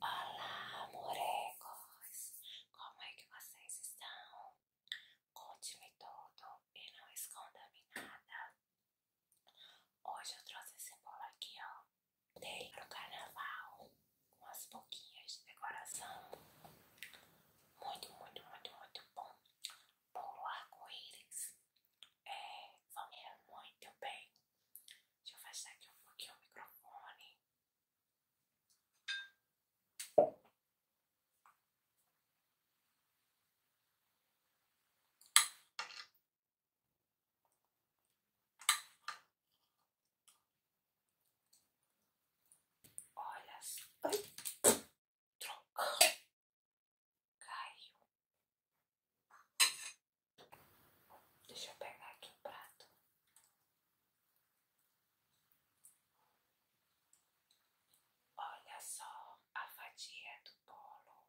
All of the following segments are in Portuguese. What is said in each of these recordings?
Olá, morecos! Como é que vocês estão? Conte-me tudo e não esconda-me nada. Hoje eu trouxe esse bolo aqui, ó. Dei pro carnaval Umas as de decoração. Muito, muito, muito, muito bom puro arco-íris, é, família muito bem. Deixa eu afastar aqui um pouquinho o microfone. Olha, ai, trocou. Caiu. Deixa eu pegar aqui o prato. Olha só a fatia do bolo.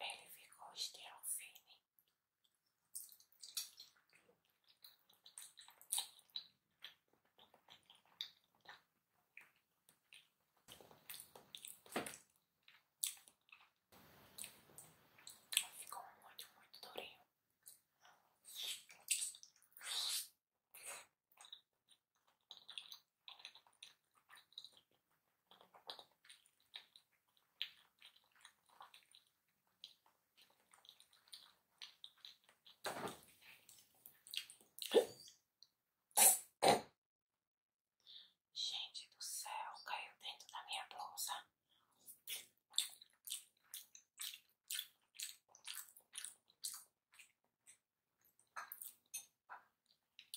Ele ficou estirofine. Ficou muito, muito durinho. Gente do céu, caiu dentro da minha blusa.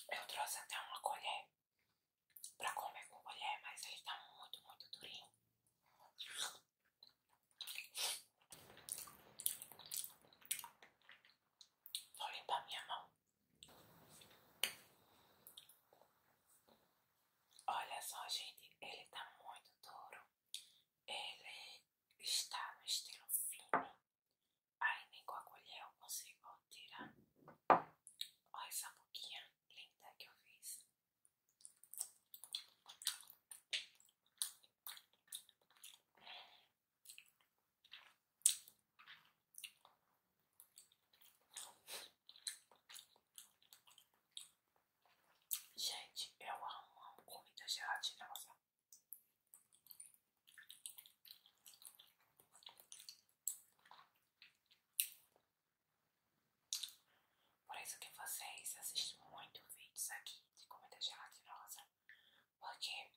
Eu trouxe até uma colher pra comer com colher, mas ele tá muito, muito durinho. Vou limpar minha mão. Olha só, gente, ele tá muito duro. Ele está no estilo fino. Ai, nem com a colher eu consigo tirar. Olha essa boquinha linda que eu fiz. Gente, eu amo, amo comida gelatinosa. Por isso que vocês assistem muito vídeos aqui de comida gelatinosa, porque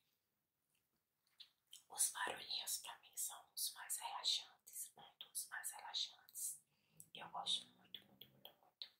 os barulhinhos pra mim são os mais relaxantes, dos mais relaxantes. Eu gosto muito, muito, muito, muito.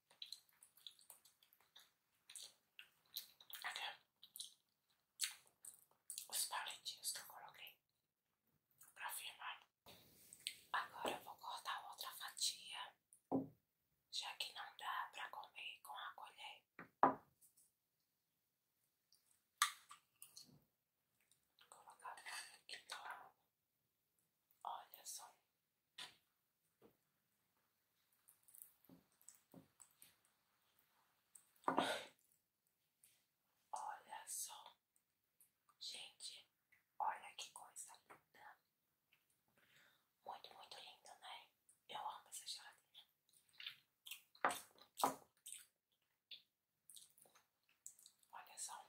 Até os palitinhos que eu coloquei pra firmar. Agora eu vou cortar outra fatia, já que não dá pra comer com a colher. Vou colocar aqui, então. Olha só. Olha só, gente, olha que coisa linda, muito, muito lindo né? Eu amo essa geladeira. Olha só.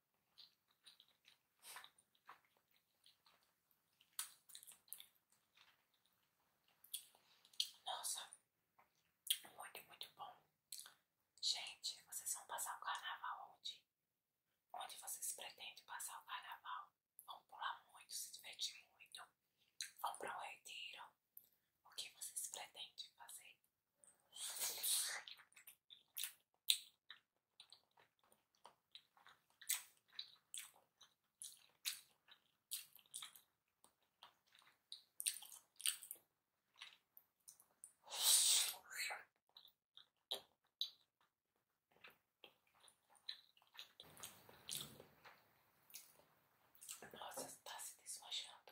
Nossa, muito, muito bom. Gente, vocês vão passar o carnaval onde? Onde vocês pretendem passar o carnaval? Vão pular muito, se divertir muito, vão para o retiro. O que vocês pretendem fazer? Nossa, está se desmanchando.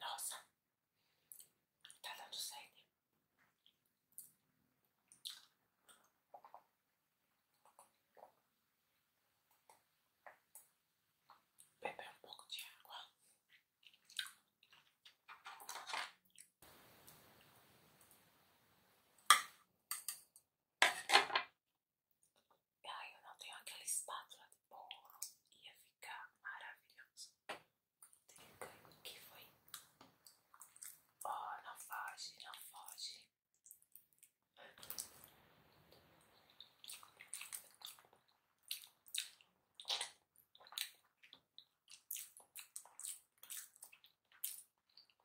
Nossa, tá dando sede. Beber um pouco de água. Ai, eu não tenho aquela espátula de bolo. Ia ficar maravilhoso. O Que foi? Oh, não foge, não foge.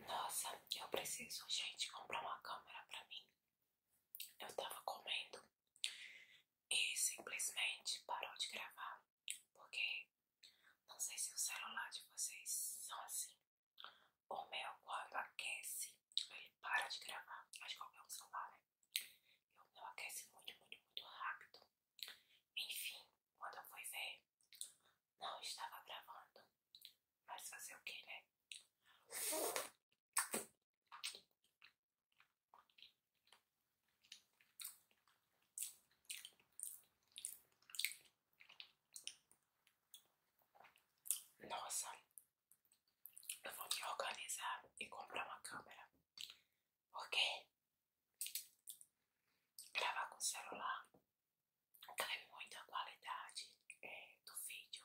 Nossa, eu preciso, gente, comprar uma câmera pra mim. Eu tava comendo e simplesmente parou de gravar, porque não sei se o celular de vocês são assim. O meu, quando aquece, ele para de gravar. Acho que qualquer é um celular, né? o meu aquece muito, muito, muito rápido. Enfim, quando eu fui ver, não estava gravando. Mas fazer o quê né? Nossa, eu vou me organizar e comprar uma câmera porque gravar com celular cai muito a qualidade é, do vídeo.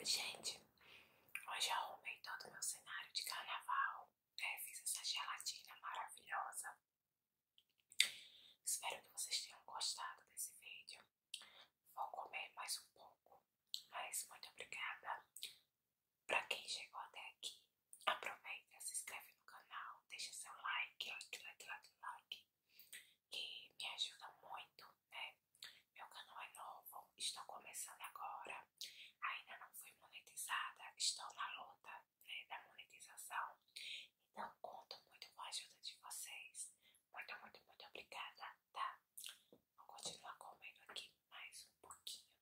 Gente, hoje arrumei todo o meu cenário de carnaval, é, Fiz essa gelatina maravilhosa. Espero que vocês tenham gostado desse vídeo. Vou comer mais um pouco, mas muito obrigada para quem chegou até aqui, aproveita, se inscreve no canal, deixa seu like, like, like, like, like, que me ajuda muito, né? Meu canal é novo, estou começando agora, ainda não fui monetizada, estou na luta né, da monetização, então conto muito com a ajuda de vocês. Muito, muito, muito obrigada, tá? Vou continuar comendo aqui mais um pouquinho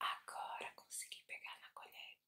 agora consegui pegar na colher.